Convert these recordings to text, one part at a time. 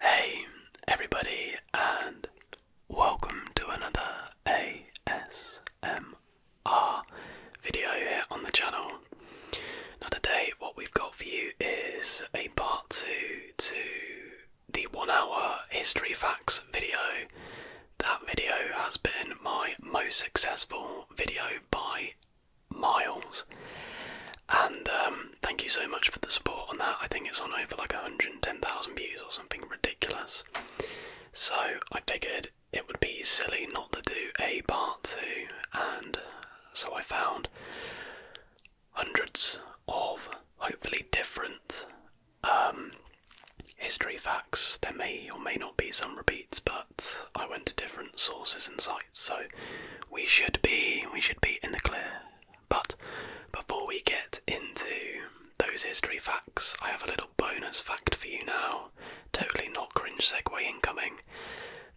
Hey everybody and welcome to another ASMR video here on the channel. Now today what we've got for you is a part 2 to the 1 hour history facts video. That video has been my most successful video by miles and um, thank you so much for the support on that. I think it's on over like 110,000 views or something ridiculous. So I figured it would be silly not to do a part two, and so I found hundreds of hopefully different um, history facts. There may or may not be some repeats, but I went to different sources and sites, so we should be we should be in the clear but before we get into those history facts, I have a little bonus fact for you now. Totally not cringe segue incoming.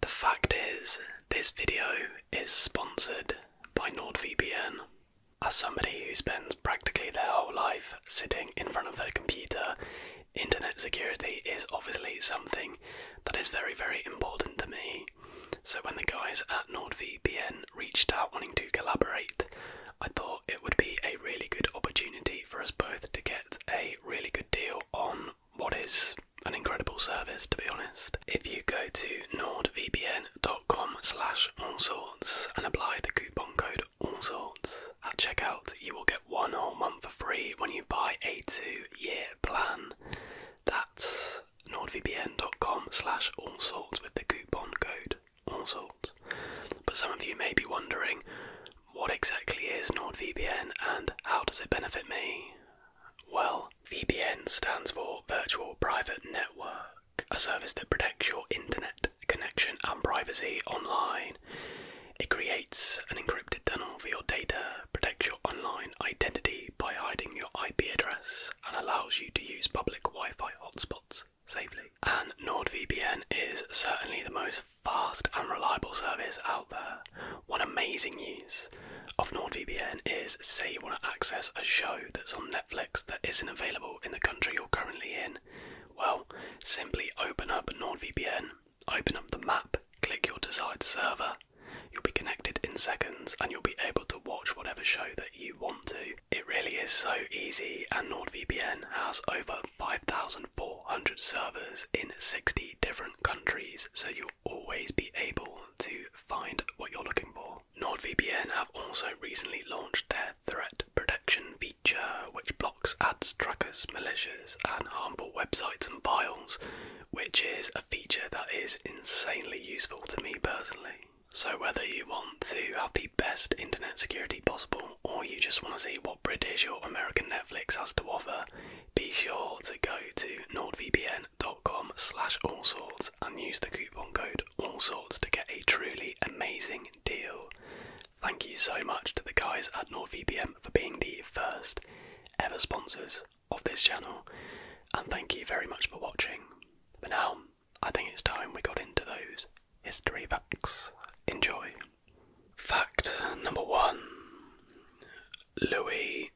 The fact is, this video is sponsored by NordVPN. As somebody who spends practically their whole life sitting in front of their computer, internet security is obviously something that is very, very important to me. So when the guys at NordVPN reached out wanting to collaborate, I thought it would be a really good opportunity for us both to get a really good deal on what is an incredible service to be honest. If you go to nordvpn.com slash allsorts and apply the coupon code allsorts at checkout, you will get one whole month for free when you buy a two year plan. That's nordvpn.com slash allsorts with the coupon code allsorts. But some of you may be wondering what exactly is NordVPN and how does it benefit me? Well, VPN stands for Virtual Private Network, a service that protects your internet connection and privacy online. It creates an encrypted tunnel for your data, protects your online identity by hiding your IP address and allows you to use public Wi Fi hotspots safely. And NordVPN is certainly the most fast and reliable service out there. One amazing use of NordVPN is say you want to access a show that's on Netflix that isn't available in the country you're currently in. Well, simply open up NordVPN, open up the map, click your desired server, You'll be connected in seconds and you'll be able to watch whatever show that you want to. It really is so easy, and NordVPN has over 5,400 servers in 60 different countries, so you'll always be able to find what you're looking for. NordVPN have also recently launched their threat protection feature, which blocks ads, trackers, malicious and harmful websites and files, which is a feature that is insanely useful to me personally. So, whether you want to have the best internet security possible or you just want to see what British or American Netflix has to offer, be sure to go to nordvpn.com slash allsorts and use the coupon code allsorts to get a truly amazing deal. Thank you so much to the guys at NordVPN for being the first ever sponsors of this channel, and thank you very much for watching. But now, I think it's time we got into those history facts. Enjoy. Fact number one Louis,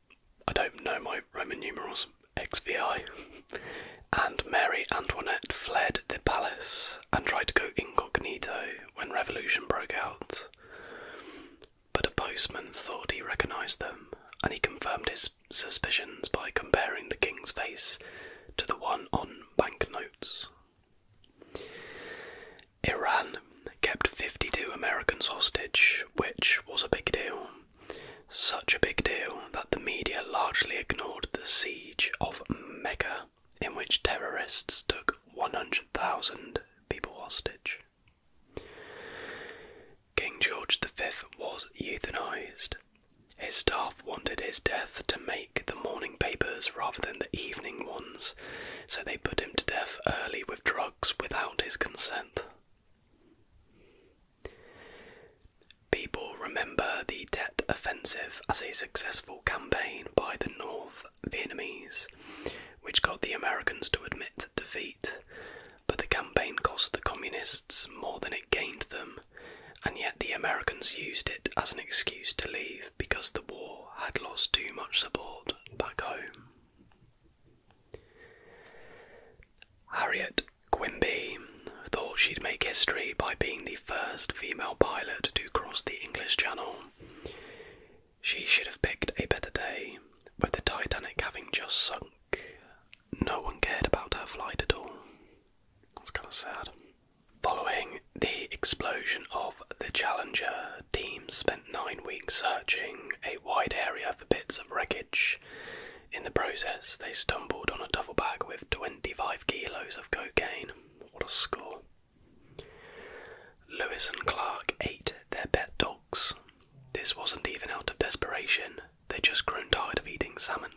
I don't know my Roman numerals, XVI, and Mary Antoinette fled the palace and tried to go incognito when revolution broke out. But a postman thought he recognised them and he confirmed his suspicions by comparing the king's face to the one on banknotes. Iran kept 52 Americans hostage, which was a big deal. Such a big deal that the media largely ignored the siege of Mecca, in which terrorists took 100,000 people hostage. King George V was euthanized. His staff wanted his death to make the morning papers rather than the evening ones, so they put him to death early with drugs without his consent. People remember the Tet Offensive as a successful campaign by the North Vietnamese, which got the Americans to admit defeat but the campaign cost the Communists more than it gained them, and yet the Americans used it as an excuse to leave because the war had lost too much support back home. Harriet Quimby thought she'd make history by being the first female pilot to cross the English Channel. She should have picked a better day, with the Titanic having just sunk no one cared about her flight at all. It's kind of sad. Following the explosion of the Challenger, teams spent nine weeks searching a wide area for bits of wreckage. In the process, they stumbled on a duffel bag with 25 kilos of cocaine. What a score. Lewis and Clark ate their pet dogs. This wasn't even out of desperation, they'd just grown tired of eating salmon.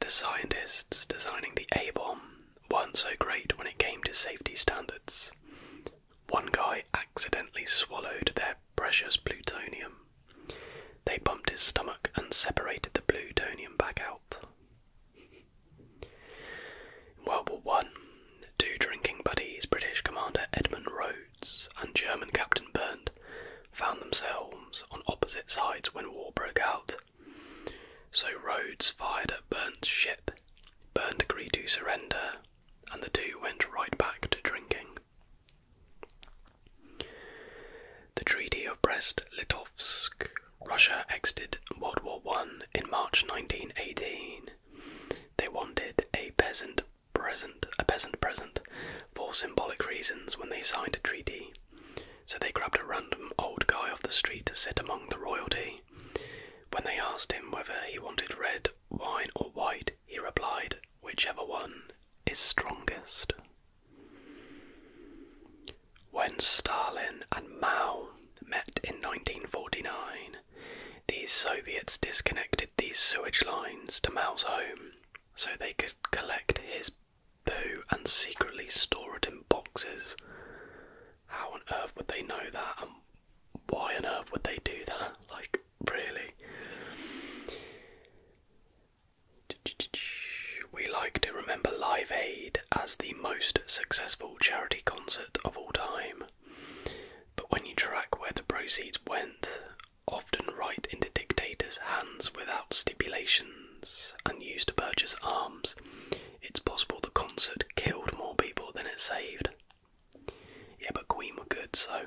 The scientists designing the A bomb weren't so great when it came to safety standards. One guy accidentally swallowed their precious plutonium. They pumped his stomach and separated the plutonium back out. World War One, two drinking buddies, British Commander Edmund Rowe and German Captain Bernd found themselves on opposite sides when war broke out. So Rhodes fired at Bernd's ship. Bernd agreed to surrender, and the two went right back to drinking. The Treaty of Brest-Litovsk. Russia exited World War I in March 1918. They wanted a peasant present, a peasant present, for symbolic reasons when they signed a treaty. So they grabbed a random old guy off the street to sit among the royalty. When they asked him whether he wanted red wine or white, he replied, Whichever one is strongest. When Stalin and Mao met in 1949, these Soviets disconnected these sewage lines to Mal's home so they could collect his poo and secretly store it in boxes. How on earth would they know that and why on earth would they do that? Like, really? We like to remember Live Aid as the most successful charity concert of all time. But when you track where the proceeds went, often write into dictators' hands without stipulations and used to purchase arms, it's possible the concert killed more people than it saved. Yeah, but Queen were good, so.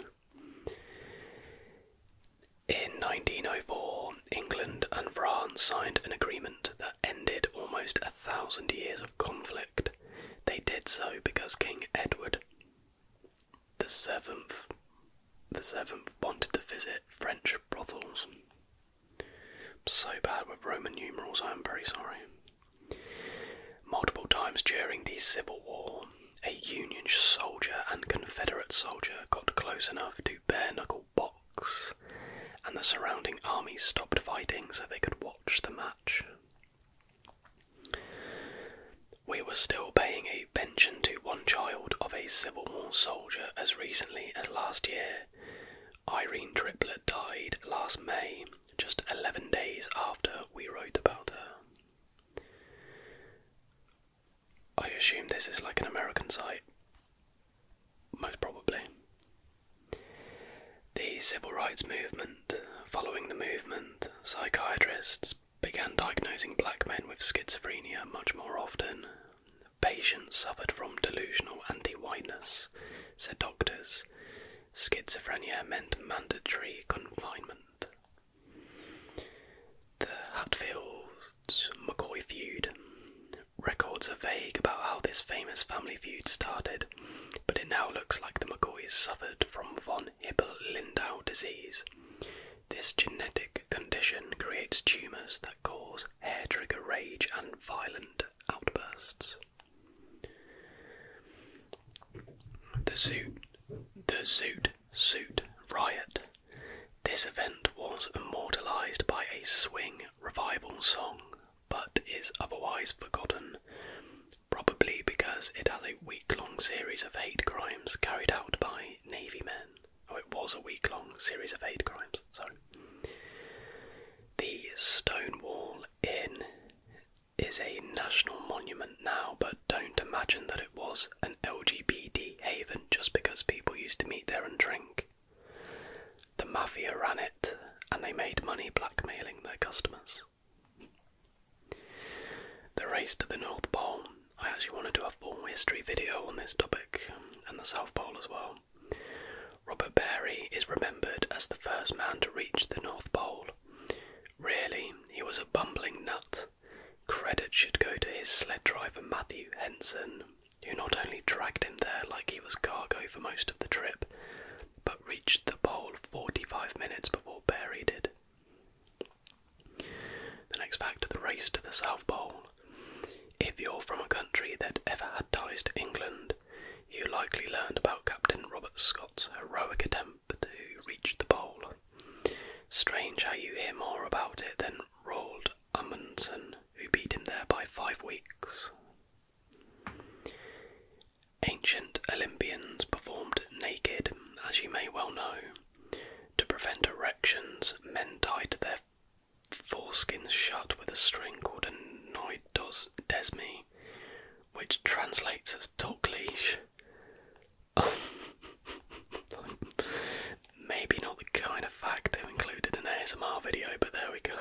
In 1904, England and France signed an agreement that ended almost a thousand years of conflict. They did so because King Edward, the seventh, the seventh wanted to visit French brothels. so bad with Roman numerals, I'm very sorry. Multiple times during the Civil War, a Union soldier and Confederate soldier got close enough to bare knuckle box, and the surrounding armies stopped fighting so they could watch the match. We were still paying a pension to one child of a Civil War soldier as recently as last year. Irene Triplett died last May, just 11 days after we wrote about her. I assume this is like an American site. Most probably. The civil rights movement. Following the movement, psychiatrists began diagnosing black men with schizophrenia much more often. Patients suffered from delusional anti whiteness, said doctors. Schizophrenia meant mandatory confinement. The Hatfield McCoy feud. Records are vague about how this famous family feud started, but it now looks like the McCoys suffered from von Hippel Lindau disease, this genetic condition creates tumours that cause hair trigger rage and violent outbursts. The Zoot, the Zoot Suit Riot. This event was immortalised by a swing revival song, but is otherwise forgotten, probably because it has a week long series of hate crimes carried out by Navy men. Oh, it was a week long series of hate crimes, sorry. The Stonewall Inn is a national monument now, but don't imagine that it was an LGBT haven just because people used to meet there and drink. The mafia ran it and they made money blackmailing their customers. The race to the North Pole. I actually want to do a full history video on this topic um, and the South Pole as well. Robert Barry is remembered as the first man to reach the North Pole. Really, he was a bumbling nut. Credit should go to his sled driver Matthew Henson, who not only dragged him there like he was cargo for most of the trip, but reached the pole 45 minutes before Barry did. The next fact the race to the South Pole. If you're from a country that ever had ties to England, you likely learned about Captain Robert Scott's heroic attempt to reach the pole. Strange how you hear more about it than Roald Amundsen, who beat him there by five weeks. Ancient Olympians performed naked, as you may well know. To prevent erections, men tied their foreskins shut with a string called a noidos desmi, which translates as dog leash. Maybe not the kind of fact who included an ASMR video, but there we go.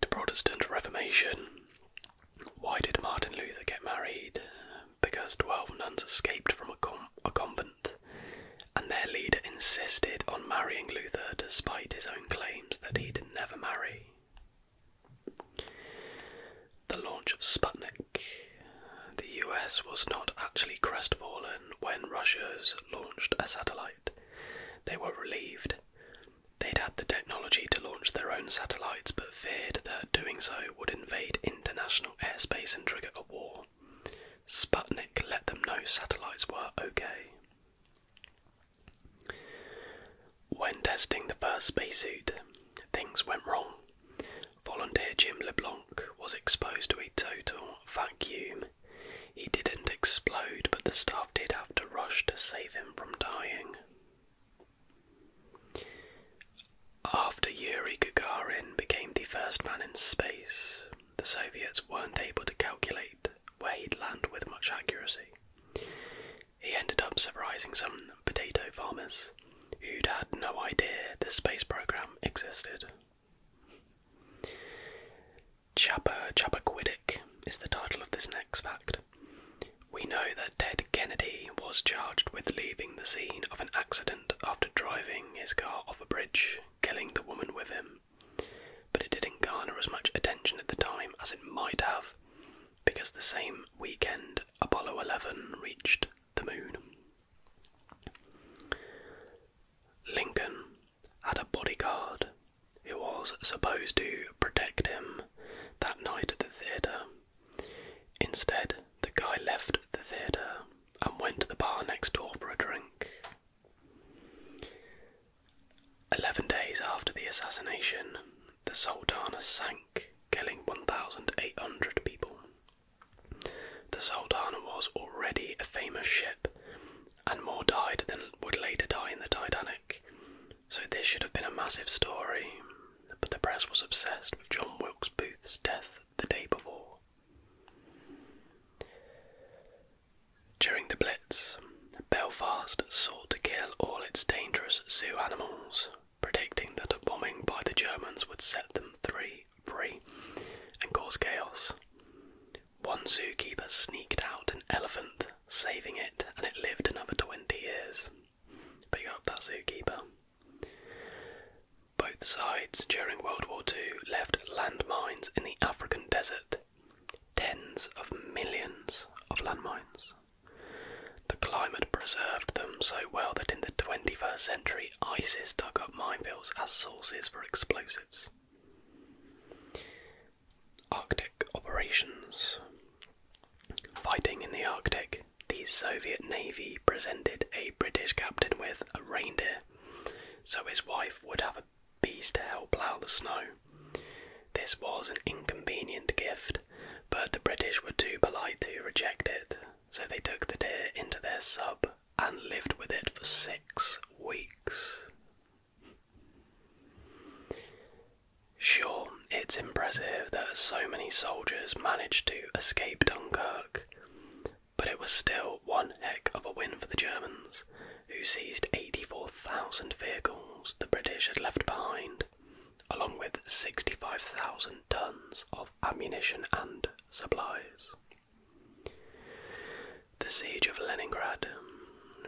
The Protestant Reformation. Why did Martin Luther get married? because 12 nuns escaped from a, convent, and their leader insisted on marrying Luther despite his own claims that he'd never marry. The launch of Sputnik. The US was not actually crestfallen when Russia's launched a satellite. They were relieved. They'd had the technology to launch their own satellites but feared that doing so would invade international airspace and trigger a war. Sputnik let them know satellites were okay. When testing the first spacesuit, things went wrong. Volunteer Jim LeBlanc was exposed to a total vacuum. He didn't explode, but the staff did have to rush to save him from dying. After Yuri Gagarin became the first man in space, the Soviets weren't able to calculate where he'd land with much accuracy. He ended up surprising some potato farmers who'd had no idea the space program existed. Chapa quiddick is the title of this next fact. We know that Ted Kennedy was charged with leaving the scene of an accident after driving his car off a bridge, killing the woman with him. But it didn't garner as much attention at the time as it might have, because the same weekend Apollo 11 reached the moon. Lincoln had a bodyguard who was supposed to protect him that night at the theatre. Instead, the guy left the theatre and went to the bar next door for a drink. Eleven days after the assassination, the Soldana sank, killing 1,800 people. The Soldana was already a famous ship, and more died than would later die in the Titanic, so this should have been a massive story but the press was obsessed with John Wilkes Booth's death the day before. During the Blitz, Belfast sought to kill all its dangerous zoo animals, predicting that a bombing by the Germans would set them three free and cause chaos. One zookeeper sneaked out an elephant, saving it, and it lived another 20 years picking up that zookeeper. Both sides during World War II left landmines in the African desert, tens of millions of landmines. The climate preserved them so well that in the 21st century, ISIS dug up minefields as sources for explosives. Arctic operations. Fighting in the Arctic the Soviet Navy presented a British captain with a reindeer, so his wife would have a beast to help plough the snow. This was an inconvenient gift, but the British were too polite to reject it, so they took the deer into their sub and lived with it for six weeks. Sure, it's impressive that so many soldiers managed to escape Dunkirk, but it was still one heck of a win for the Germans, who seized 84,000 vehicles the British had left behind, along with 65,000 tons of ammunition and supplies. The siege of Leningrad.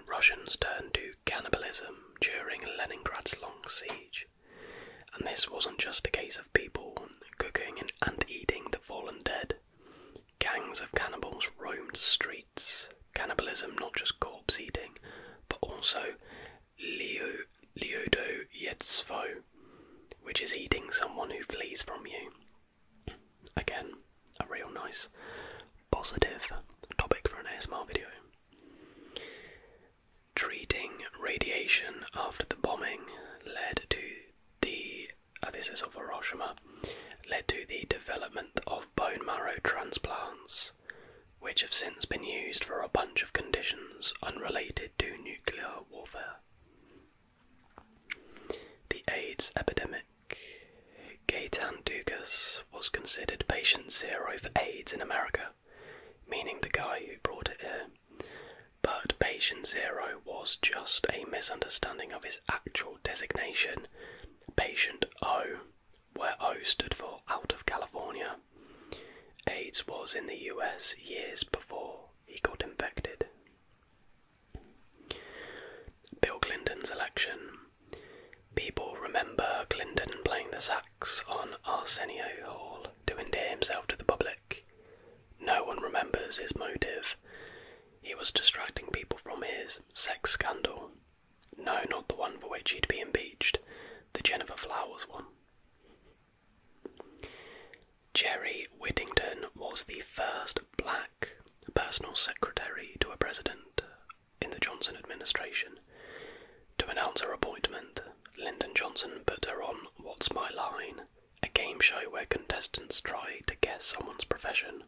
Russians turned to cannibalism during Leningrad's long siege. And this wasn't just a case of people cooking and eating the fallen dead. Gangs of cannibals roamed streets, cannibalism not just corpse eating, but also leo, leodo yetsvo, which is eating someone who flees from you. Again, a real nice, positive topic for an ASMR video. Treating radiation after the bombing led to the uh, this is of Hiroshima led to the development of bone marrow transplants, which have since been used for a bunch of conditions unrelated to nuclear warfare. The AIDS epidemic. Gaetan Dugas was considered patient zero for AIDS in America, meaning the guy who brought it in. But Patient Zero was just a misunderstanding of his actual designation, Patient O, where O stood for out of California. AIDS was in the US years before he got infected. Bill Clinton's election. People remember Clinton playing the sax on Arsenio Hall to endear himself to the public. No one remembers his motive. He was distracting people from his sex scandal. No, not the one for which he'd be impeached, the Jennifer Flowers one. Jerry Whittington was the first black personal secretary to a president in the Johnson administration. To announce her appointment, Lyndon Johnson put her on What's My Line, a game show where contestants try to guess someone's profession.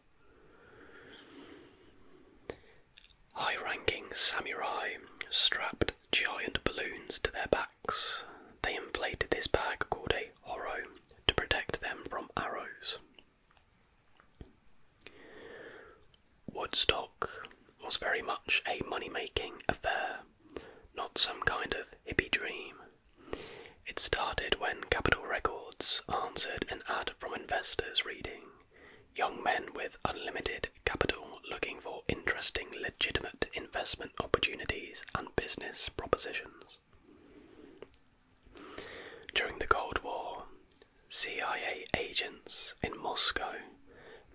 High ranking samurai strapped giant balloons to their backs. They inflated this bag called a horo to protect them from arrows. Woodstock was very much a money making affair not some kind of hippie dream. It started when Capitol Records answered an ad from investors reading Young men with unlimited capital looking for interesting, legitimate investment opportunities and business propositions. During the Cold War, CIA agents in Moscow,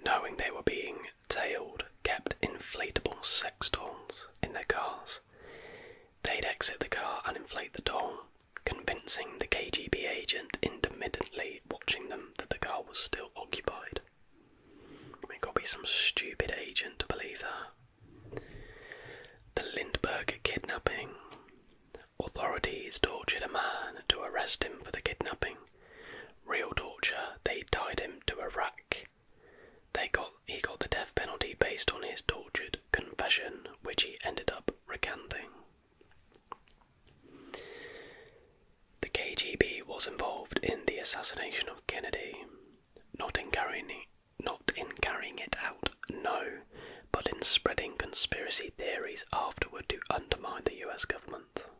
knowing they were being tailed kept inflatable sex dolls in their cars. They'd exit the car and inflate the doll, convincing the KGB agent intermittently watching them that the car was still occupied. I mean, gotta be some stupid agent to believe that. The Lindbergh kidnapping. Authorities tortured a man to arrest him for the kidnapping. Real torture, they tied him to a rack they got he got the death penalty based on his tortured confession, which he ended up recanting. The KGB was involved in the assassination of Kennedy, not in carrying not in carrying it out, no, but in spreading conspiracy theories afterward to undermine the US government.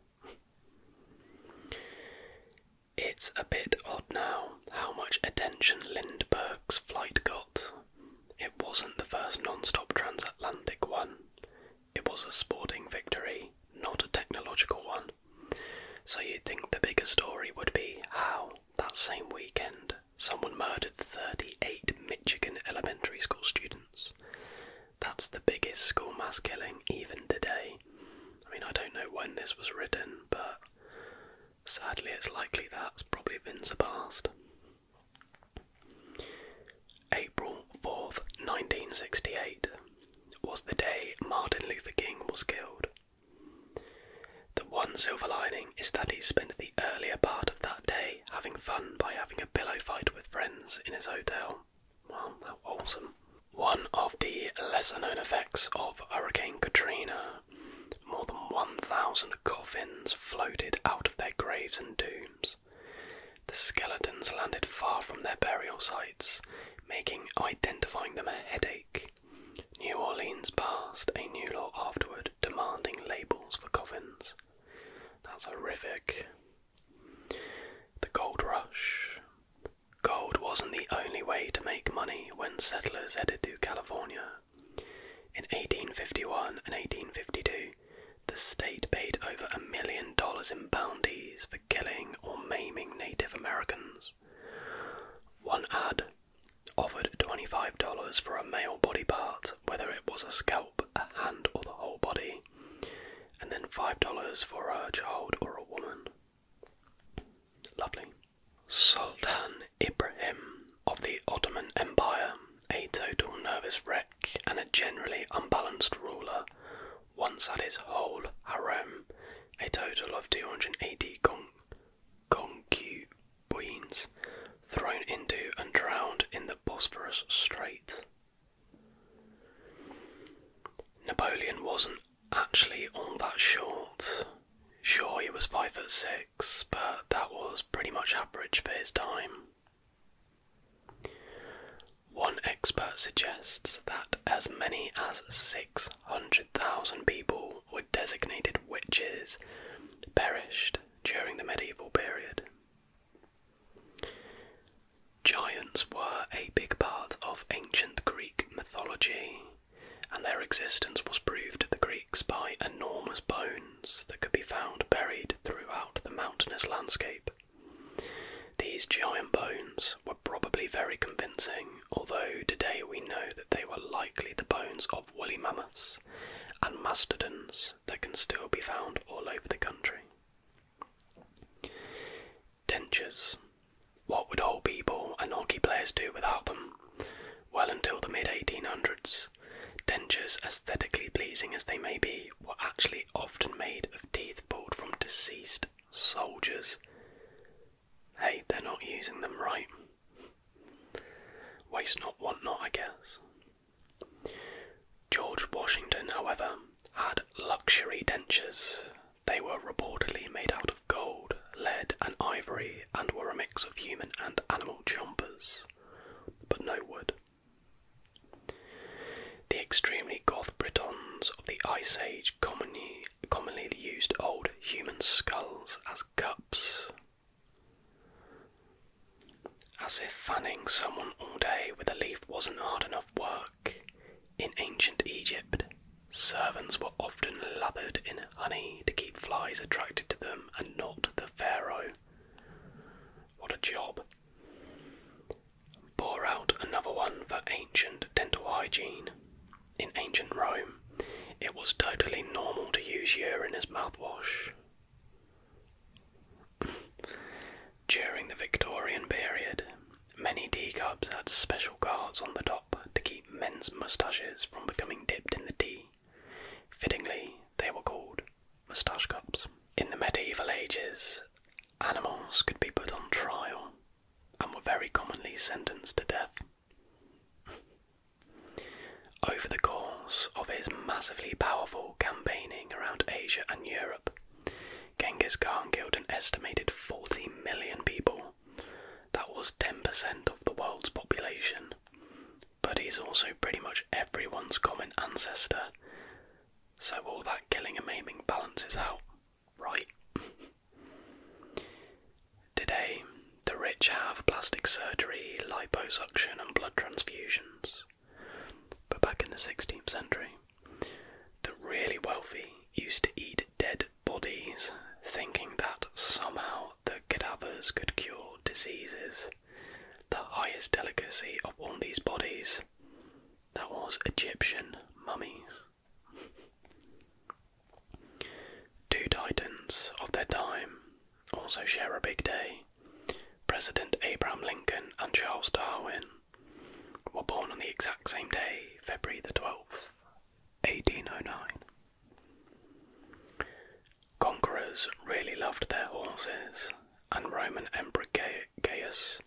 It's a bit odd now how much attention Lindbergh's flight got. It wasn't the first non stop transatlantic one, it was a sporting victory, not a technological one. So you'd think the bigger story would be how, that same weekend, someone murdered 38 Michigan elementary school students. That's the biggest school mass killing even today. I mean, I don't know when this was written, but sadly it's likely that's probably been surpassed. April 4th, 1968 was the day Martin Luther King was killed. The one silver lining is that he spent the earlier part of that day having fun by having a pillow fight with friends in his hotel. Wow, how awesome. One of the lesser known effects of Hurricane Katrina more than 1,000 coffins floated out of their graves and tombs. The skeletons landed far from their burial sites, making identifying them a headache. New Orleans passed a new law afterward demanding labels for coffins. That's horrific. The gold rush. Gold wasn't the only way to make money when settlers headed to California. In 1851 and 1852, the state paid over a million dollars in bounties for killing or maiming Native Americans. One ad offered $25 for a male body part, whether it was a scalp, a hand, or the whole body, and then $5 for a child or a woman. Lovely. Sultan Ibrahim of the Ottoman Empire, a total nervous wreck and a generally unbalanced ruler, once had his whole harem, a total of 280 concubines, thrown into and drowned in the Bosphorus Strait. Napoleon wasn't actually all that short. Sure, he was five foot six, but that was pretty much average for his time. One expert suggests that as many as 600,000 people were designated witches perished during the medieval period. Giants were a big part of ancient Greek mythology, and their existence was proved to the Greeks by enormous bones that could be found buried throughout the mountainous landscape. These giant bones were probably very convincing, although today we know that they were likely the bones of woolly mammoths and mastodons that can still be found all over the country. Dentures. What would old people and hockey players do without them? Well, until the mid 1800s, dentures, aesthetically pleasing as they may be, were actually often made of teeth pulled from deceased soldiers. Hey, they're not using them right. Waste not, want not, I guess. George Washington, however, had luxury dentures they were reportedly made out of gold, lead, and ivory, and were a mix of human and animal chompers, but no wood. The extremely goth Britons of the Ice Age commonly, commonly used old human skulls as cups, as if fanning someone all day with a leaf wasn't hard enough work. In ancient Egypt, servants were often lathered in honey to keep flies attracted to them and not the pharaoh. What a job! Bore out another one for ancient dental hygiene. In ancient Rome, it was totally normal to use urine as mouthwash. During the Victorian period, Many tea cups had special guards on the top to keep men's moustaches from becoming dipped in the tea. Fittingly, they were called moustache cups. In the medieval ages, animals could be put on trial and were very commonly sentenced to death. Over the course of his massively powerful campaigning around Asia and Europe, Genghis Khan killed an estimated 40 million people that was 10% of the world's population. But he's also pretty much everyone's common ancestor. So all that killing and maiming balances out, right? Today, the rich have plastic surgery, liposuction, and blood transfusions. But back in the 16th century, the really wealthy used to eat dead bodies, thinking that somehow the cadavers could cure diseases. The highest delicacy of all these bodies that was Egyptian mummies. Two titans of their time also share a big day. President Abraham Lincoln and Charles Darwin were born on the exact same day, February the 12th, 1809. Conquerors really loved their horses, and Roman Emperor Gaius,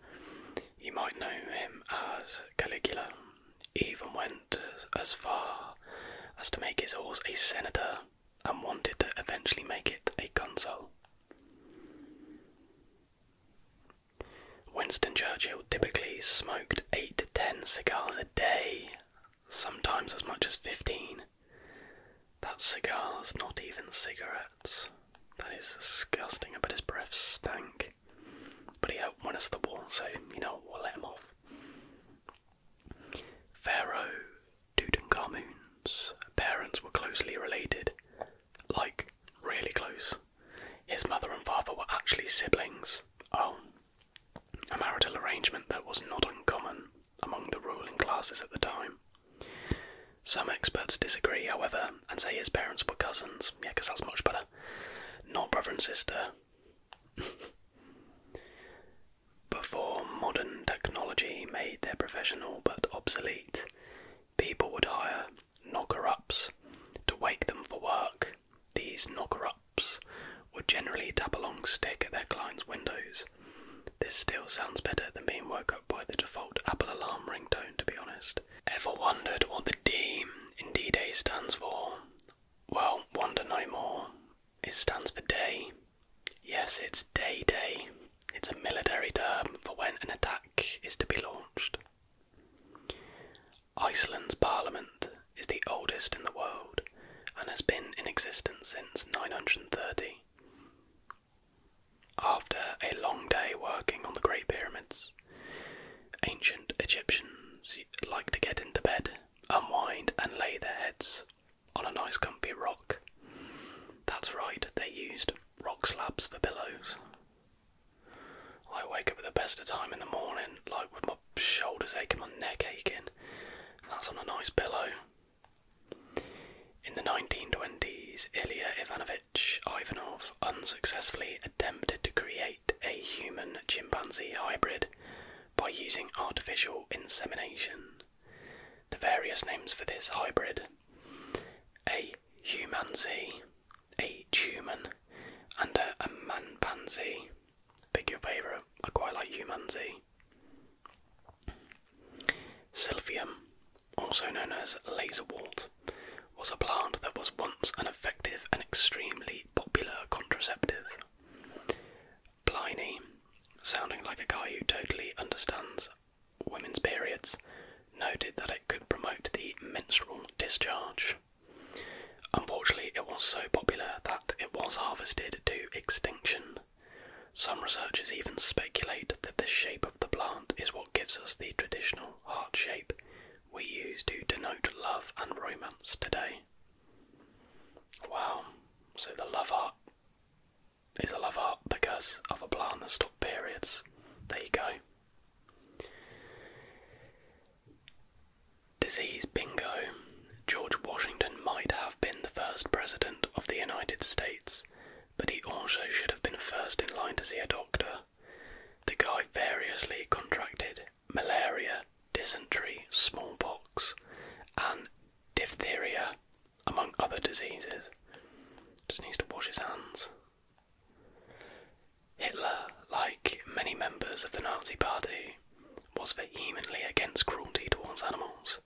you might know him as Caligula, even went as far as to make his horse a senator and wanted to eventually make it a consul. Winston Churchill typically smoked 8 to 10 cigars a day, sometimes as much as 15. That's cigars, not even cigarettes. That is disgusting. But his breath stank. But he helped win us the war, so, you know, we'll let him off. Pharaoh Tutankhamun's parents were closely related. Like, really close. His mother and father were actually siblings. Oh. A marital arrangement that was not uncommon among the ruling classes at the time. Some experts disagree, however, and say his parents were cousins. Yeah, because that's much better. Not brother and sister. Before modern technology made their professional but obsolete, people would hire knocker ups to wake them for work these knocker would generally tap a long stick at their clients' windows. This still sounds better than being woke up by the default Apple alarm ringtone, to be honest. Ever wondered what the D in D Day stands for? Well, wonder no more. It stands for day. Yes, it's day day. It's a military term for when an attack is to be launched. Iceland's parliament is the oldest in the world and has been in existence since 930. After a long day working on the Great Pyramids, ancient Egyptians like to get into bed, unwind, and lay their heads on a nice comfy rock. That's right, they used rock slabs for pillows. I wake up at the best of time in the morning, like with my shoulders aching, my neck aching. That's on a nice pillow. In the 1920s, Ilya Ivanovich Ivanov unsuccessfully attempted to create a human chimpanzee hybrid by using artificial insemination. The various names for this hybrid a humanzee, a human, and a manpanzee Pick your favourite. I quite like Humanzi. Silphium, also known as laserwort, was a plant that was once an effective and extremely popular contraceptive. Pliny, sounding like a guy who totally understands women's periods, noted that it could promote the menstrual discharge. Unfortunately, it was so popular that it was harvested to extinction. Some researchers even speculate that the shape of the plant is what gives us the traditional heart shape we use to denote love and romance today. Wow, so the love art is a love art because of a plant that stopped periods. There you go. Disease bingo. George Washington might have been the first president of the United States, but he also should have been first in line to see a doctor. The guy variously contracted malaria, dysentery, smallpox, and diphtheria, among other diseases. Just needs to wash his hands. Hitler, like many members of the Nazi Party, was vehemently against cruelty towards animals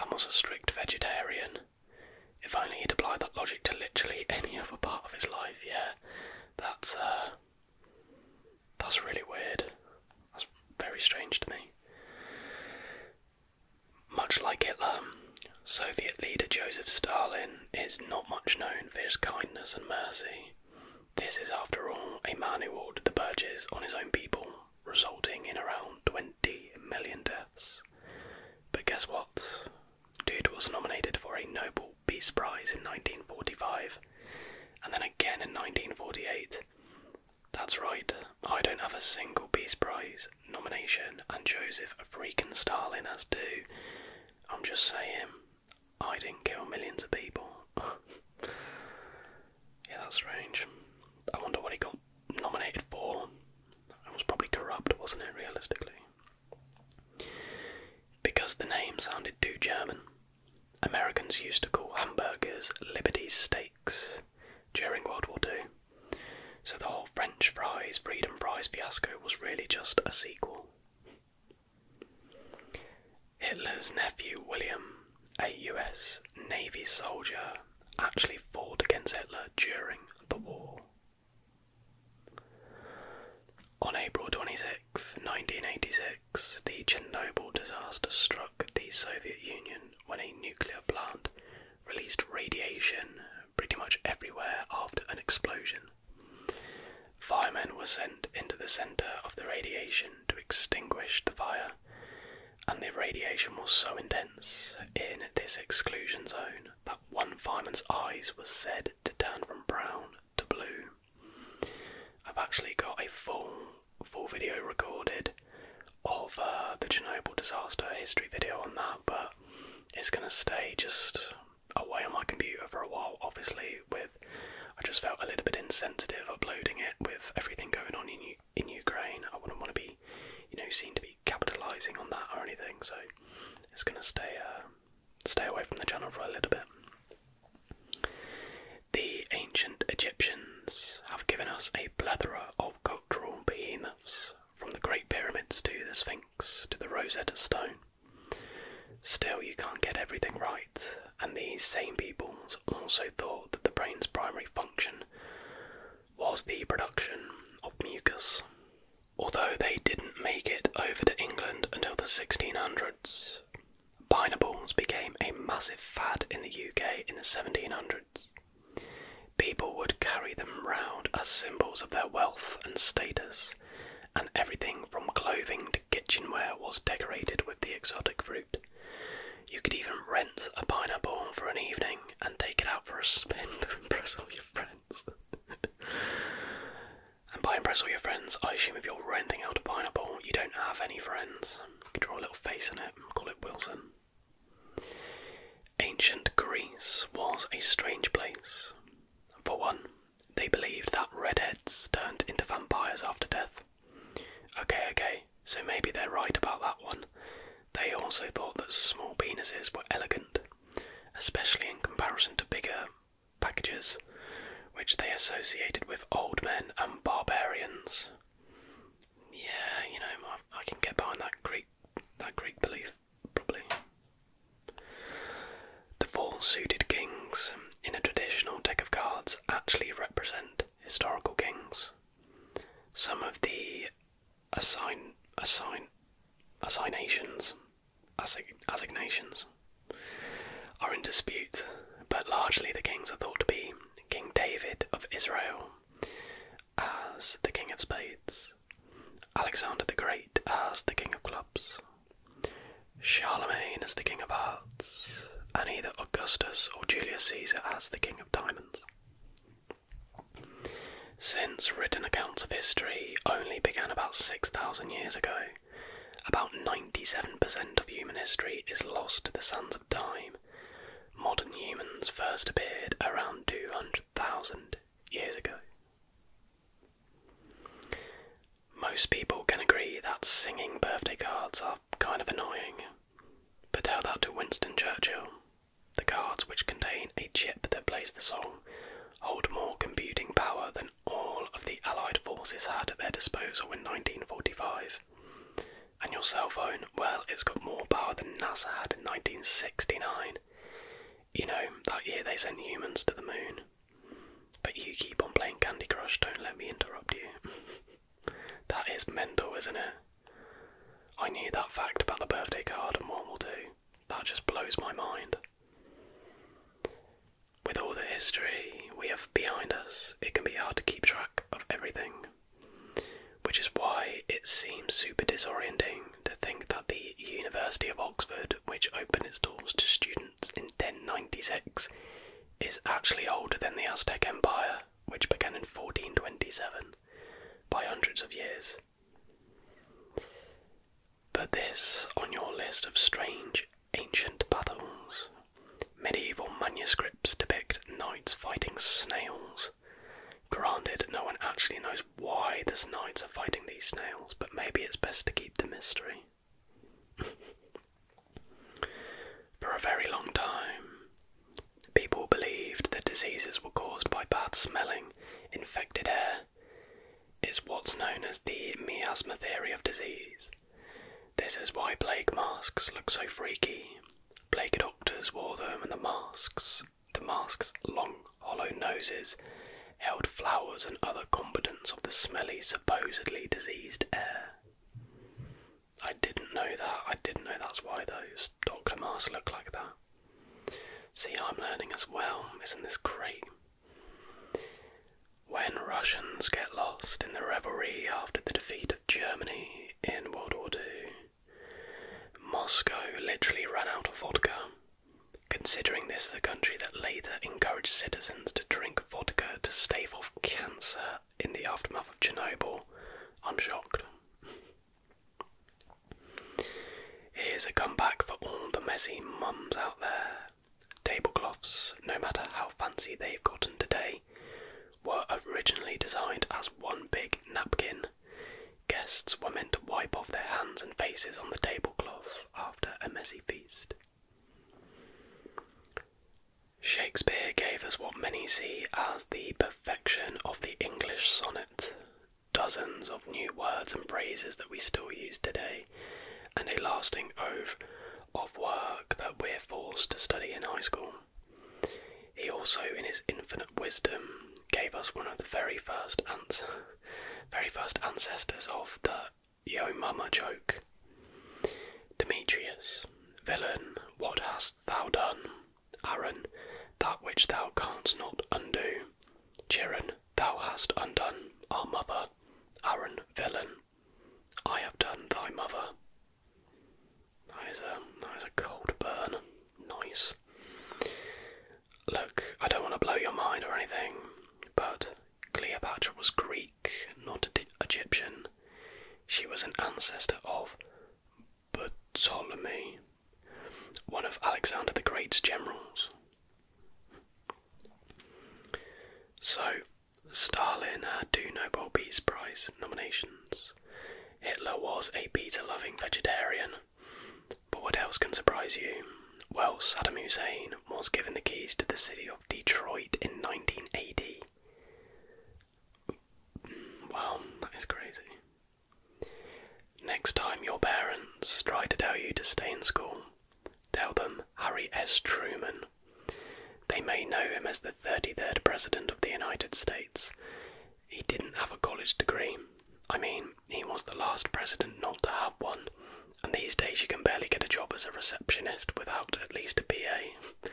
and was a strict vegetarian. If only he'd applied that logic to literally any other part of his life, yeah. That's uh that's really weird. That's very strange to me. Much like Hitler, Soviet leader Joseph Stalin is not much known for his kindness and mercy. This is, after all, a man who ordered the purges on his own people, resulting in around 20 million deaths. But guess what? Dude was nominated for a Nobel Peace Prize in 1945, and then again in 1948. That's right, I don't have a single Peace Prize nomination, and Joseph freaking Stalin has two. I'm just saying. I didn't kill millions of people. yeah, that's strange. I wonder what he got nominated for. It was probably corrupt, wasn't it, realistically? Because the name sounded too German. Americans used to call hamburgers Liberty Steaks during World War II. So the whole French fries, freedom fries fiasco was really just a sequel. Hitler's nephew William, a US Navy soldier, actually fought against Hitler during the war. On April 26, 1986, the Chernobyl disaster struck the Soviet Union when a nuclear plant released radiation pretty much everywhere after an explosion. Firemen were sent into the center of the radiation to extinguish the fire, and the radiation was so intense in this exclusion zone that one fireman's eyes was said to turn from brown to blue. I've actually got a full full video recorded of uh, the Chernobyl disaster history video on that, but it's gonna stay just away on my computer for a while, obviously, with. I just felt a little bit insensitive uploading it with everything going on in in Ukraine. I wouldn't want to be, you know, seen to be capitalising on that or anything. So it's gonna stay uh, stay away from the channel for a little bit. The ancient Egyptians have given us a plethora of cultural behemoths, from the Great Pyramids to the Sphinx to the Rosetta Stone. Still, you can't get everything right, and these same people also thought that the brain's primary function was the production of mucus. Although they didn't make it over to England until the 1600s, pineapples became a massive fad in the UK in the 1700s. People would carry them round as symbols of their wealth and status, and everything from clothing to kitchenware was decorated with the exotic fruit. You could even rent a pineapple for an evening and take it out for a spin to impress all your friends. and by impress all your friends, I assume if you're renting out a pineapple, you don't have any friends. You could draw a little face on it and call it Wilson. Ancient Greece was a strange place. For one, they believed that redheads turned into vampires after death. Okay, okay, so maybe they're right about that one. They also thought that small penises were elegant, especially in comparison to bigger packages, which they associated with old men and barbarians. Yeah, you know, I, can get behind that Greek, that Greek belief, probably. The four suited kings in a traditional deck of cards actually represent historical kings. Some of the assign assign assignations assignations are in dispute, but largely the kings are thought to be King David of Israel as the King of Spades, Alexander the Great as the King of Clubs, Charlemagne is the King of Hearts, and either Augustus or Julius Caesar as the King of Diamonds. Since written accounts of history only began about 6,000 years ago, about 97% of human history is lost to the sands of time. Modern humans first appeared around 200,000 years ago. Most people can agree that singing birthday cards are kind of annoying. But tell that to Winston Churchill. The cards, which contain a chip that plays the song, hold more computing power than all of the Allied forces had at their disposal in 1945. And your cell phone, well, it's got more power than NASA had in 1969. You know, that year they sent humans to the moon. But you keep on playing Candy Crush, don't let me interrupt you. that is mental, isn't it? I knew that fact about the birthday card and one will do. That just blows my mind. With all the history we have behind us, it can be hard to keep track of everything, which is why it seems super disorienting to think that the University of Oxford, which opened its doors to students in 1096, is actually older than the Aztec Empire, which began in 1427, by hundreds of years. But this, on your list of strange ancient battles, medieval manuscripts depict knights fighting snails. Granted, no one actually knows why these knights are fighting these snails, but maybe it's best to keep the mystery. For a very long time, people believed that diseases were caused by bad smelling, infected air. Is what's known as the miasma theory of disease. This is why plague masks look so freaky. Plague doctors wore them, and the masks, the masks' long, hollow noses, held flowers and other components of the smelly, supposedly diseased air. I didn't know that. I didn't know that's why those Dr. Mars look like that. See, I'm learning as well. Isn't this great? When Russians get lost in the revelry after the defeat of Germany in World War II, Moscow literally ran out of vodka. Considering this is a country that later encouraged citizens to drink vodka to stave off cancer in the aftermath of Chernobyl, I'm shocked. Here's a comeback for all the messy mums out there. Tablecloths, no matter how fancy they've gotten today, were originally designed as one big napkin. Guests were meant to wipe off their hands and faces on the tablecloth after a messy feast. Shakespeare gave us what many see as the perfection of the English sonnet, dozens of new words and phrases that we still use today, and a lasting oath of work that we're forced to study in high school. He also, in his infinite wisdom, gave us one of the very first very first ancestors of the yo mama joke Demetrius, villain, what hast thou done? Aaron, that which thou canst not undo. Chiron, thou hast undone our mother. Aaron, villain, I have done thy mother. That is a that is a cold burn. Nice. Look, I don't want to blow your mind or anything, but Cleopatra was Greek. Greek, not Egyptian. She was an ancestor of Ptolemy, one of Alexander the Great's generals. So, Stalin had two Nobel Peace Prize nominations. Hitler was a pizza loving vegetarian. But what else can surprise you? Well, Saddam Hussein was given the keys to the city of Detroit in 1980 Wow, that is crazy. Next time your parents try to tell you to stay in school, tell them Harry S. Truman. They may know him as the 33rd President of the United States. He didn't have a college degree. I mean, he was the last president not to have one, and these days you can barely get a job as a receptionist without at least a BA.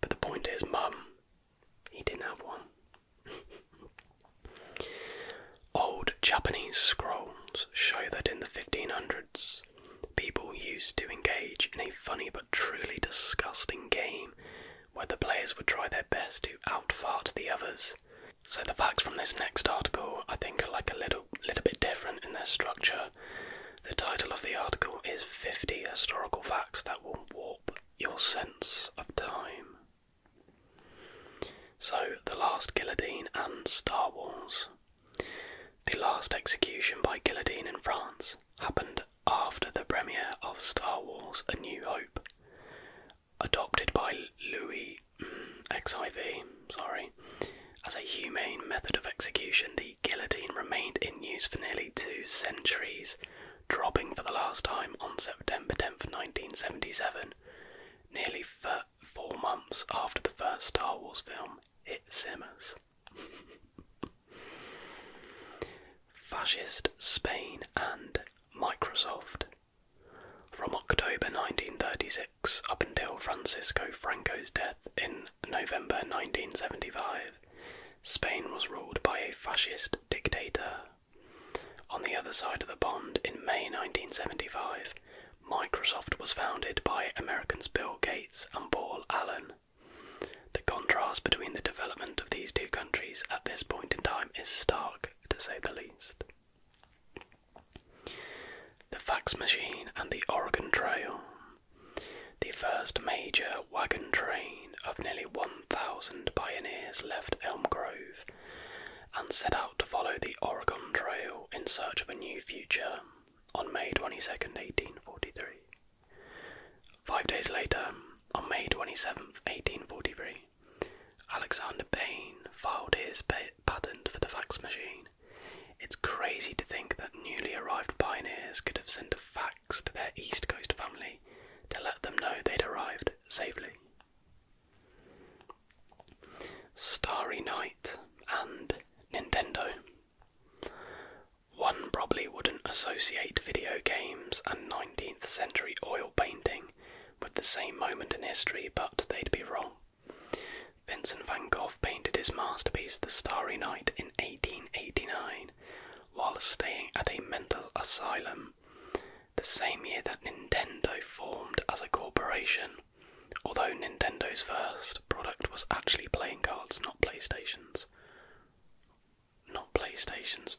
But the point is, Mum, he didn't have one. Old Japanese scrolls show that in the 1500s, people used to engage in a funny but truly disgusting game where the players would try their best to out-fart the others. So the facts from this next article I think are like a little little bit different in their structure. The title of the article is 50 Historical Facts That Will Warp Your Sense of Time. So, The Last Guillotine and Star Wars. The last execution by guillotine in France happened after the premiere of Star Wars A New Hope, adopted by Louis mm, XIV, sorry, as a humane method of execution, the guillotine remained in use for nearly two centuries, dropping for the last time on September 10, 1977, nearly four months after the first Star Wars film, hit cinemas. Fascist Spain and Microsoft. From October 1936 up until Francisco Franco's death in November 1975, Spain was ruled by a fascist dictator. On the other side of the pond, in May 1975, Microsoft was founded by Americans Bill Gates and Paul Allen. The contrast between the development of these two countries at this point in time is stark, to say the least. The fax machine and the Oregon Trail. The first major wagon train of nearly 1,000 pioneers left Elm Grove and set out to follow the Oregon Trail in search of a new future on May 22, 1843. Five days later, on May 27, 1843, Alexander Bain filed his patent for the fax machine. It's crazy to think that newly arrived pioneers could have sent a fax to their East Coast family to let them know they'd arrived safely. Starry Night and Nintendo. One probably wouldn't associate video games and 19th century oil painting with the same moment in history, but they'd be wrong. Vincent van Gogh painted his masterpiece, The Starry Night, in 1889, while staying at a mental asylum, the same year that Nintendo formed as a corporation, although Nintendo's first product was actually playing cards, not PlayStations. Not PlayStations.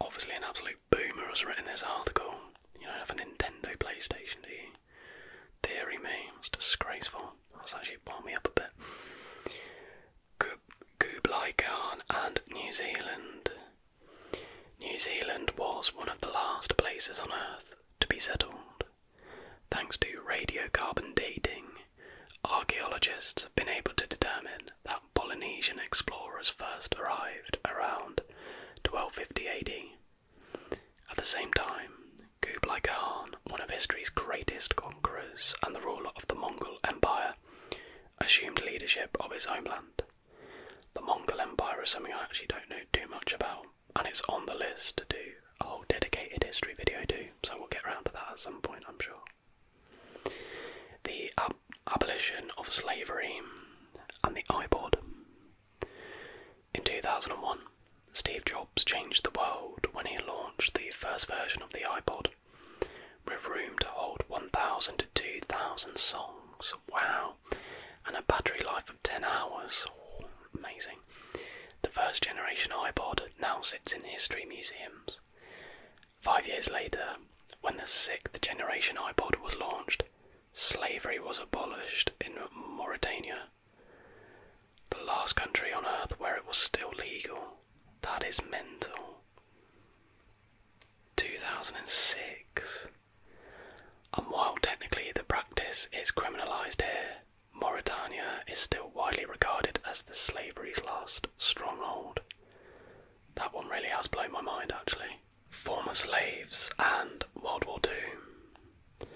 Obviously, an absolute boomer has written this article. You don't have a Nintendo PlayStation, do you? Theory me, it's disgraceful. That's actually wound me up a bit. Kublai and New Zealand. New Zealand was one of the last places on Earth to be settled. Thanks to radiocarbon dating, archaeologists have been able to determine that Polynesian explorers first arrived around 1250 AD. At the same time, Kublai Khan, one of history's greatest conquerors and the ruler of the Mongol Empire, assumed leadership of his homeland. The Mongol Empire is something I actually don't know too much about, and it's on the list to do a whole dedicated history video to, so we'll get around to that at some point, I'm sure. The abolition of slavery and the iPod. In 2001, Steve Jobs changed the world when he launched the first version of the iPod, with room to hold 1,000 to 2,000 songs. Wow! And a battery life of 10 hours. amazing. The first generation iPod now sits in history museums. Five years later, when the sixth generation iPod was launched, slavery was abolished in Mauritania, the last country on earth where it was still legal that is mental. 2006. And while technically the practice is criminalised here, Mauritania is still widely regarded as the slavery's last stronghold. That one really has blown my mind actually. Former slaves and World War II.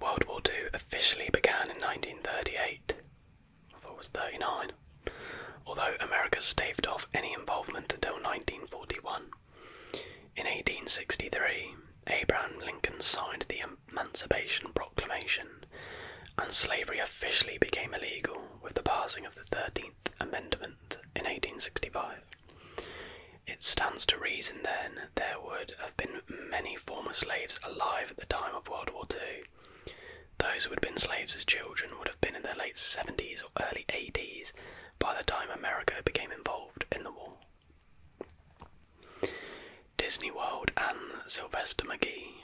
World War II officially began in 1938, I thought was 39. Although America staved off any involvement until 1941. In 1863, Abraham Lincoln signed the Emancipation Proclamation, and slavery officially became illegal with the passing of the 13th Amendment in 1865. It stands to reason then there would have been many former slaves alive at the time of World War II, those who had been slaves as children would have been in their late 70s or early 80s by the time America became involved in the war. Disney World and Sylvester McGee.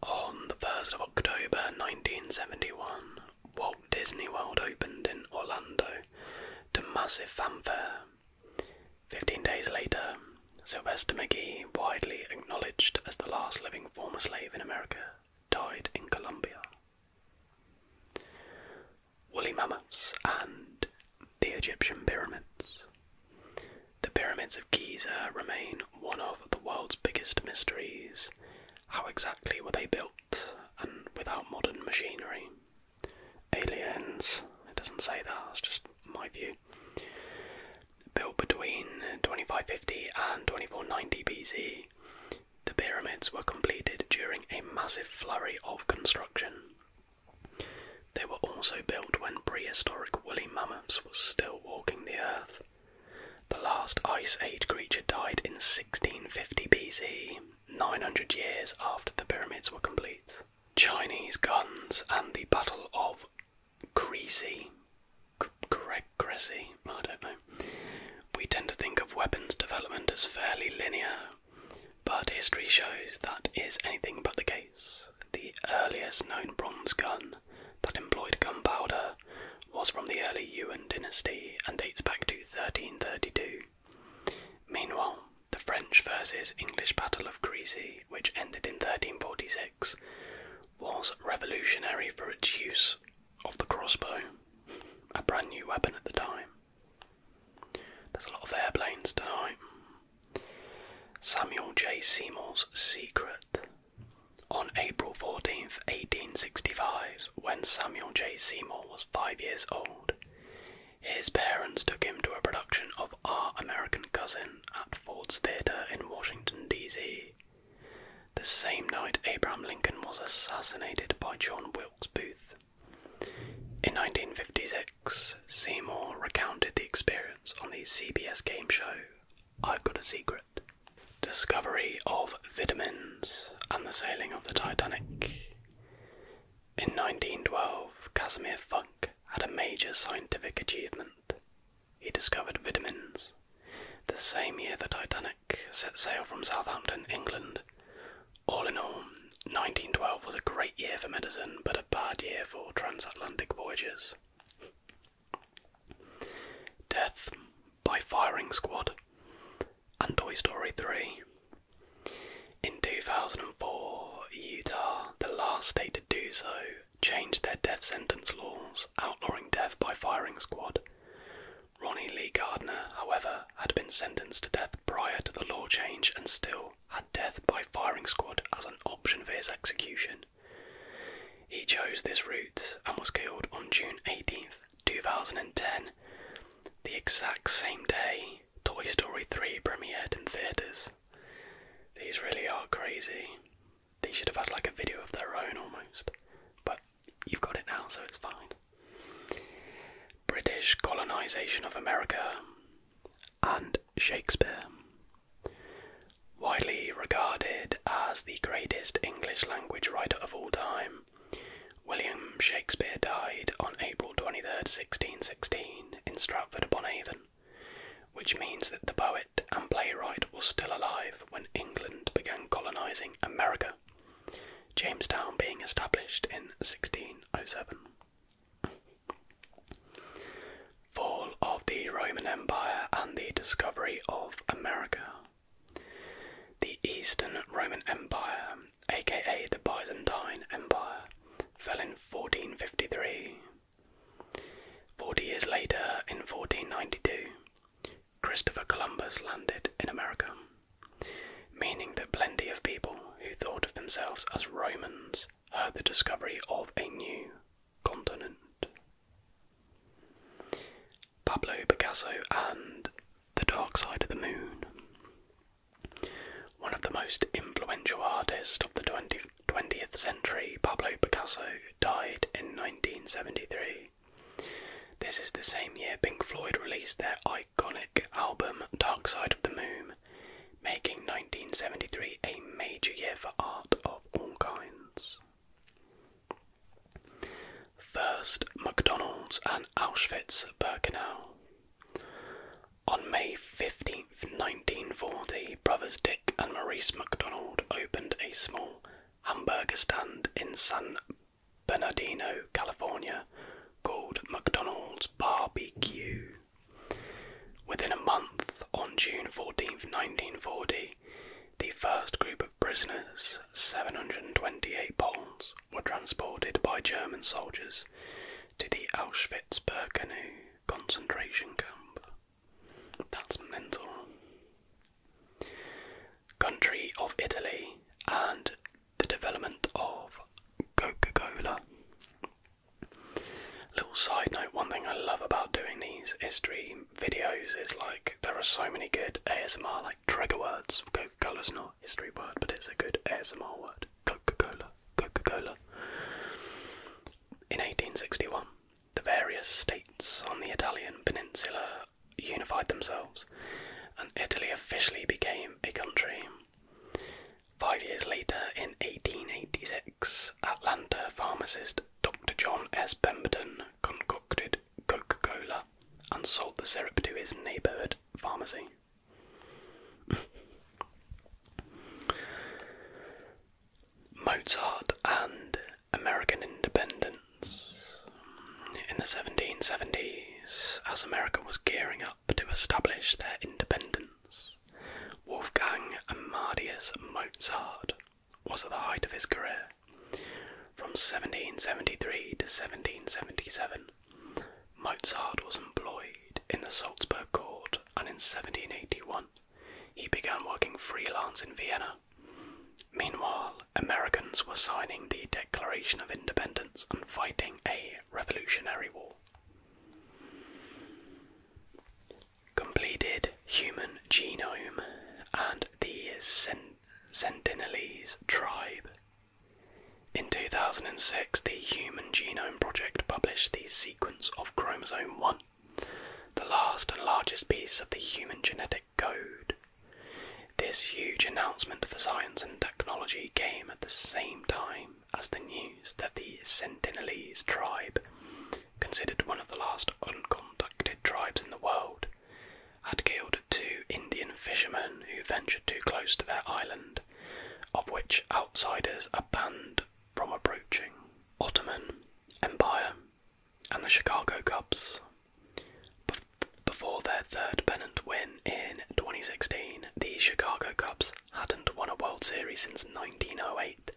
On the 1st of October 1971, Walt Disney World opened in Orlando to massive fanfare. Fifteen days later, Sylvester McGee, widely acknowledged as the last living former slave in America, died in Colombia. Woolly mammoths and the Egyptian pyramids. The pyramids of Giza remain one of the world's biggest mysteries. How exactly were they built and without modern machinery? Aliens, it doesn't say that, it's just my view built between 2550 and 2490 BC, the pyramids were completed during a massive flurry of construction. They were also built when prehistoric woolly mammoths were still walking the earth. The last Ice Age creature died in 1650 BC, 900 years after the pyramids were complete. Chinese guns and the Battle of greasy, correct, greasy. I don't know. We tend to think of weapons development as fairly linear, but history shows that is anything but the case. The earliest known bronze gun that employed gunpowder was from the early Yuan dynasty and dates back to 1332. Meanwhile, the French versus English Battle of Crecy, which ended in 1346, was revolutionary for its use of the crossbow, a brand new weapon at the time. There's a lot of airplanes tonight. Samuel J. Seymour's Secret. On April 14th, 1865, when Samuel J. Seymour was five years old, his parents took him to a production of Our American Cousin at Ford's Theatre in Washington, D.C. The same night Abraham Lincoln was assassinated by John Wilkes Booth. In 1956, Seymour recounted the experience on the CBS game show I've Got a Secret. Discovery of vitamins and the sailing of the Titanic. In 1912, Casimir Funk had a major scientific achievement. He discovered vitamins. The same year the Titanic set sail from Southampton, England. All in all, 1912 was a great year for medicine, but a bad year for transatlantic voyages. Death by Firing Squad and Toy Story 3. In 2004, Utah, the last state to do so, changed their death sentence laws, outlawing death by firing squad. Ronnie Lee Gardner, however, had been sentenced to death prior to the law change and still had death by firing squad as an option for his execution. He chose this route and was killed on June eighteenth, two 2010, the exact same day Toy Story 3 premiered in theatres. These really are crazy. They should have had like a video of their own almost, but you've got it now, so it's fine. British colonization of America and Shakespeare. Widely regarded as the greatest English language writer of all time, William Shakespeare died on April 23, 1616, in Stratford upon Avon, which means that the poet and playwright was still alive when England began colonising America, Jamestown being established in 1607. Fall of the Roman Empire and the discovery of America. The Eastern Roman Empire, aka the Byzantine Empire, fell in 1453 Forty years later, in 1492, Christopher Columbus landed in America, meaning that plenty of people who thought of themselves as Romans heard the discovery of a new continent. Pablo Picasso and The Dark Side of the Moon. One of the most influential artists of the 20th 20th century Pablo Picasso died in 1973. This is the same year Pink Floyd released their iconic album Dark Side of the Moon, making 1973 a major year for art of all kinds. First, McDonald's and Auschwitz Birkenau. On May 15, 1940, brothers Dick and Maurice MacDonald opened a small hamburger stand in San Bernardino, California, called McDonald's Barbecue. Within a month, on June 14, 1940, the first group of prisoners, 728 Poles, were transported by German soldiers to the Auschwitz-Birkenau concentration camp. That's mental. Country of Italy and the development of Coca Cola. Little side note one thing I love about doing these history videos is like there are so many good ASMR like trigger words. Coca cola is not history word, but it's a good ASMR word. Coca Cola, Coca Cola. In 1861, the various states on the Italian peninsula unified themselves, and Italy officially became a country. Five years later, in 1886, Atlanta pharmacist Dr. John S. Pemberton concocted Coca Cola and sold the syrup to his neighborhood pharmacy. Mozart and American independence. In the 1770s, as America was gearing up to establish their independence, Wolfgang Amadeus Mozart was at the height of his career. From 1773 to 1777, Mozart was employed in the Salzburg court, and in 1781, he began working freelance in Vienna Meanwhile, Americans were signing the Declaration of Independence and fighting a revolutionary war. Completed human genome and the Sen Sentinelese tribe. In 2006, the Human Genome Project published the sequence of chromosome 1 the last and largest piece of the human genetic code. This huge announcement of the science and technology came at the same time as the news that the Sentinelese tribe, considered one of the last uncontacted tribes in the world, had killed two Indian fishermen who ventured too close to their island, of which outsiders are banned from approaching. Ottoman Empire and the Chicago Cubs. before their third pennant win in 2016, the Chicago Cubs hadn't won a World Series since 1908.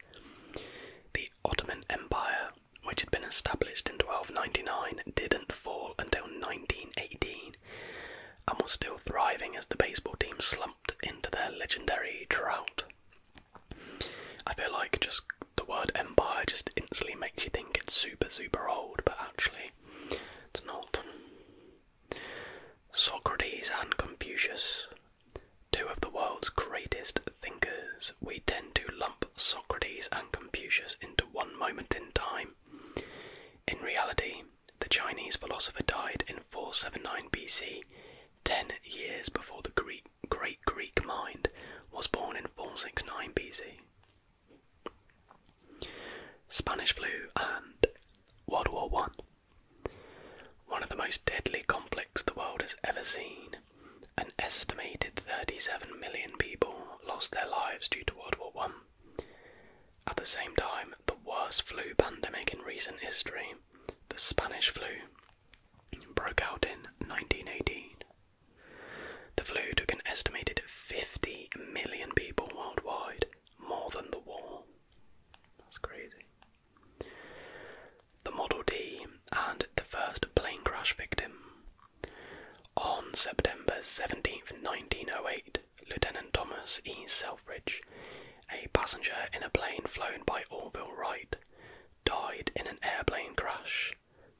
The Ottoman Empire, which had been established in 1299, didn't fall until 1918 and was still thriving as the baseball team slumped into their legendary drought. I feel like just the word empire just instantly makes you think it's super, super old, but actually it's not. Socrates and Confucius, two of the world's greatest thinkers, we tend to lump Socrates and Confucius into one moment in time. In reality, the Chinese philosopher died in 479 BC ten years before the Greek, great Greek mind was born in 469 BC. Spanish flu and World War One. One of the most deadly conflicts the world has ever seen. An estimated 37 million people lost their lives due to World War One. At the same time, the worst flu pandemic in recent history, the Spanish flu, broke out in 1918. The flu took an estimated 50 million people worldwide, more than the war. That's crazy. The Model D and the first plane crash victim. On September 17, 1908, Lieutenant Thomas E. Selfridge, a passenger in a plane flown by Orville Wright, died in an airplane crash,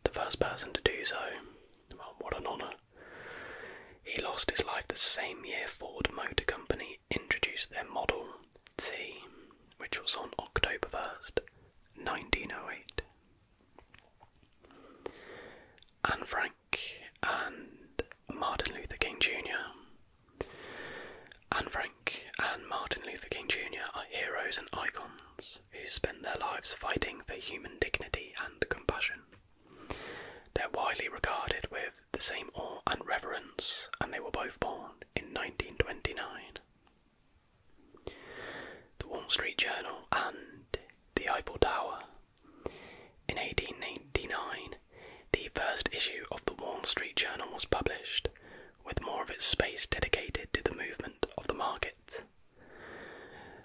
the first person to do so. Well, what an honour. He lost his life the same year Ford Motor Company introduced their Model T, which was on October 1st, 1908. Anne Frank and Martin Luther King Jr. Anne Frank and Martin Luther King Jr. are heroes and icons who spent their lives fighting for human dignity and compassion. They're widely regarded with the same awe and reverence, and they were both born in 1929. The Wall Street Journal and the Eiffel Tower. In 1899, the first issue of the Wall Street Journal was published, with more of its space dedicated to the movement of the market.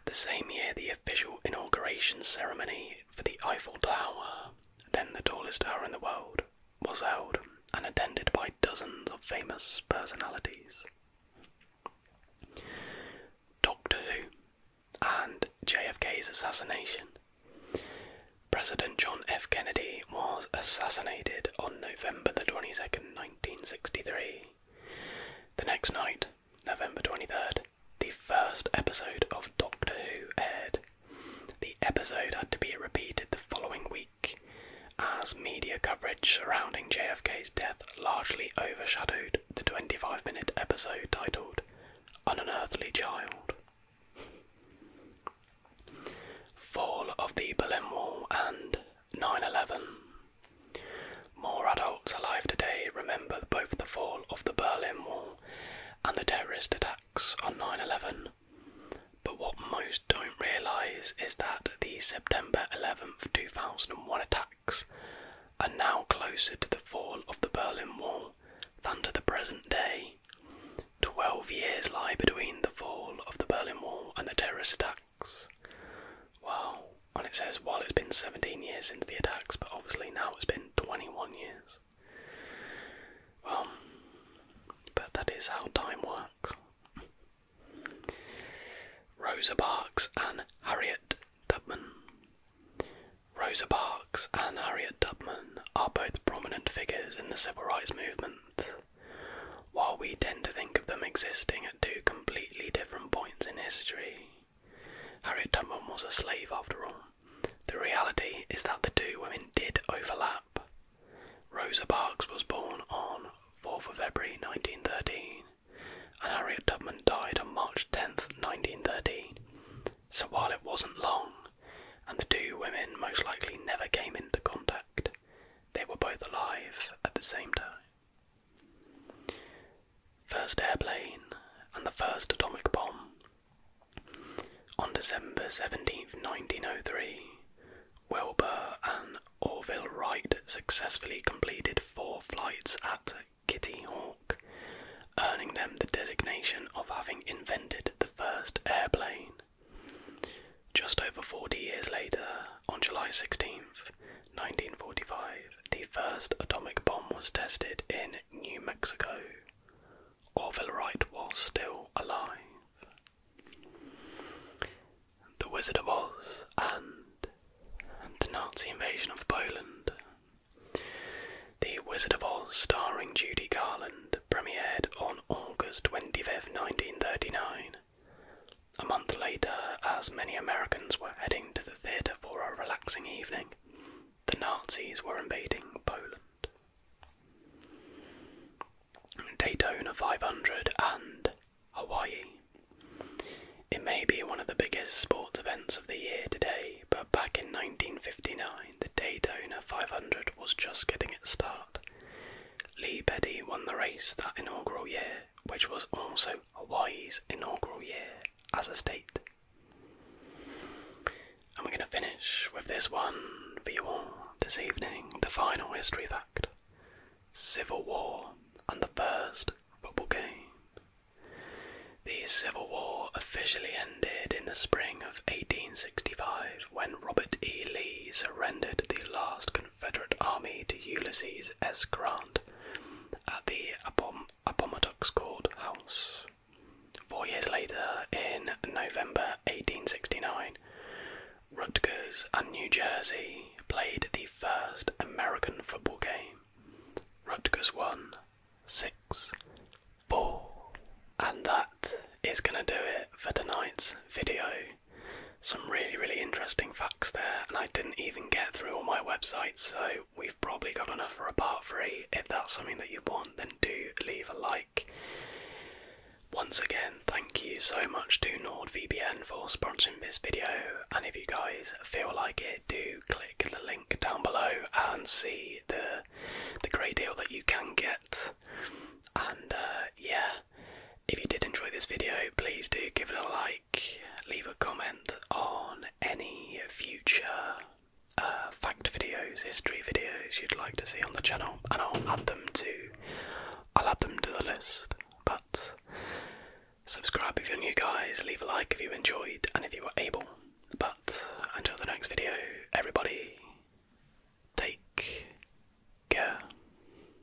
The same year, the official inauguration ceremony for the Eiffel Tower, then the tallest tower in the world, was held and attended by dozens of famous personalities. Doctor Who and JFK's assassination. President John F. Kennedy was assassinated on November the 22nd, 1963. The next night, November 23rd, the first episode of Doctor Who aired. The episode had to be repeated the following week, as media coverage surrounding JFK's death largely overshadowed the 25 minute episode titled An Unearthly Child. Fall of the Berlin Wall and 9 11. More adults alive today remember both the fall of the Berlin Wall and the terrorist attacks on 9 11. But what most don't realise is that the September 11th, 2001 attacks are now closer to the fall of the Berlin Wall than to the present day. Twelve years lie between the fall of the Berlin Wall and the terrorist attacks. Well, And it says, while well, it's been 17 years since the attacks, but obviously now it's been 21 years. Well, but that is how time works. Rosa Parks and Harriet Tubman. Rosa Parks and Harriet Tubman are both prominent figures in the civil rights movement. While we tend to think of them existing at two completely different points in history, Harriet Tubman was a slave after all. The reality is that the two women did overlap. Rosa Parks was born on 4th of February 1913, and Harriet Tubman died on March 10th, 1913. So while it wasn't long, and the two women most likely never came into contact, they were both alive at the same time. First airplane and the first atomic bomb. On December 17, 1903, Wilbur and Orville Wright successfully completed four flights at Kitty Hawk, earning them the designation of having invented the first airplane. Just over 40 years later, on July 16, 1945, the first atomic bomb was tested in New Mexico. Orville Wright was still alive. The Wizard of Oz and the Nazi invasion of Poland. The Wizard of Oz, starring Judy Garland, premiered on August 25, 1939, a month later, as many Americans were heading to the theatre for a relaxing evening, the Nazis were invading Poland. Daytona 500 and Hawaii. It may be one of the biggest sports events of the year today, but back in 1959, the Daytona 500 was just getting its start. Lee Petty won the race that inaugural year, which was also Hawaii's inaugural year as a state. And we're going to finish with this one for you all this evening the final history fact Civil War and the first football game. The Civil War officially ended in the spring of 1865 when Robert E. Lee surrendered the last Confederate army to Ulysses S. Grant at the Apom Appomattox Court House. Four years later, in November 1869, Rutgers and New Jersey played the first American football game. Rutgers won six four. And that is gonna do it for tonight's video. Some really, really interesting facts there, and I didn't even get through all my websites, so we've probably got enough for a part three. If that's something that you want, then do leave a like. Once again, thank you so much to NordVPN for sponsoring this video, and if you guys feel like it, do click the link down below and see the the great deal that you can get. And uh, yeah, if you did enjoy this video, please do give it a like, leave a comment on any future uh, fact videos, history videos you'd like to see on the channel, and I'll add them to, I'll add them to the list. But subscribe if you're new, guys. Leave a like if you enjoyed and if you are able. But until the next video, everybody, take care.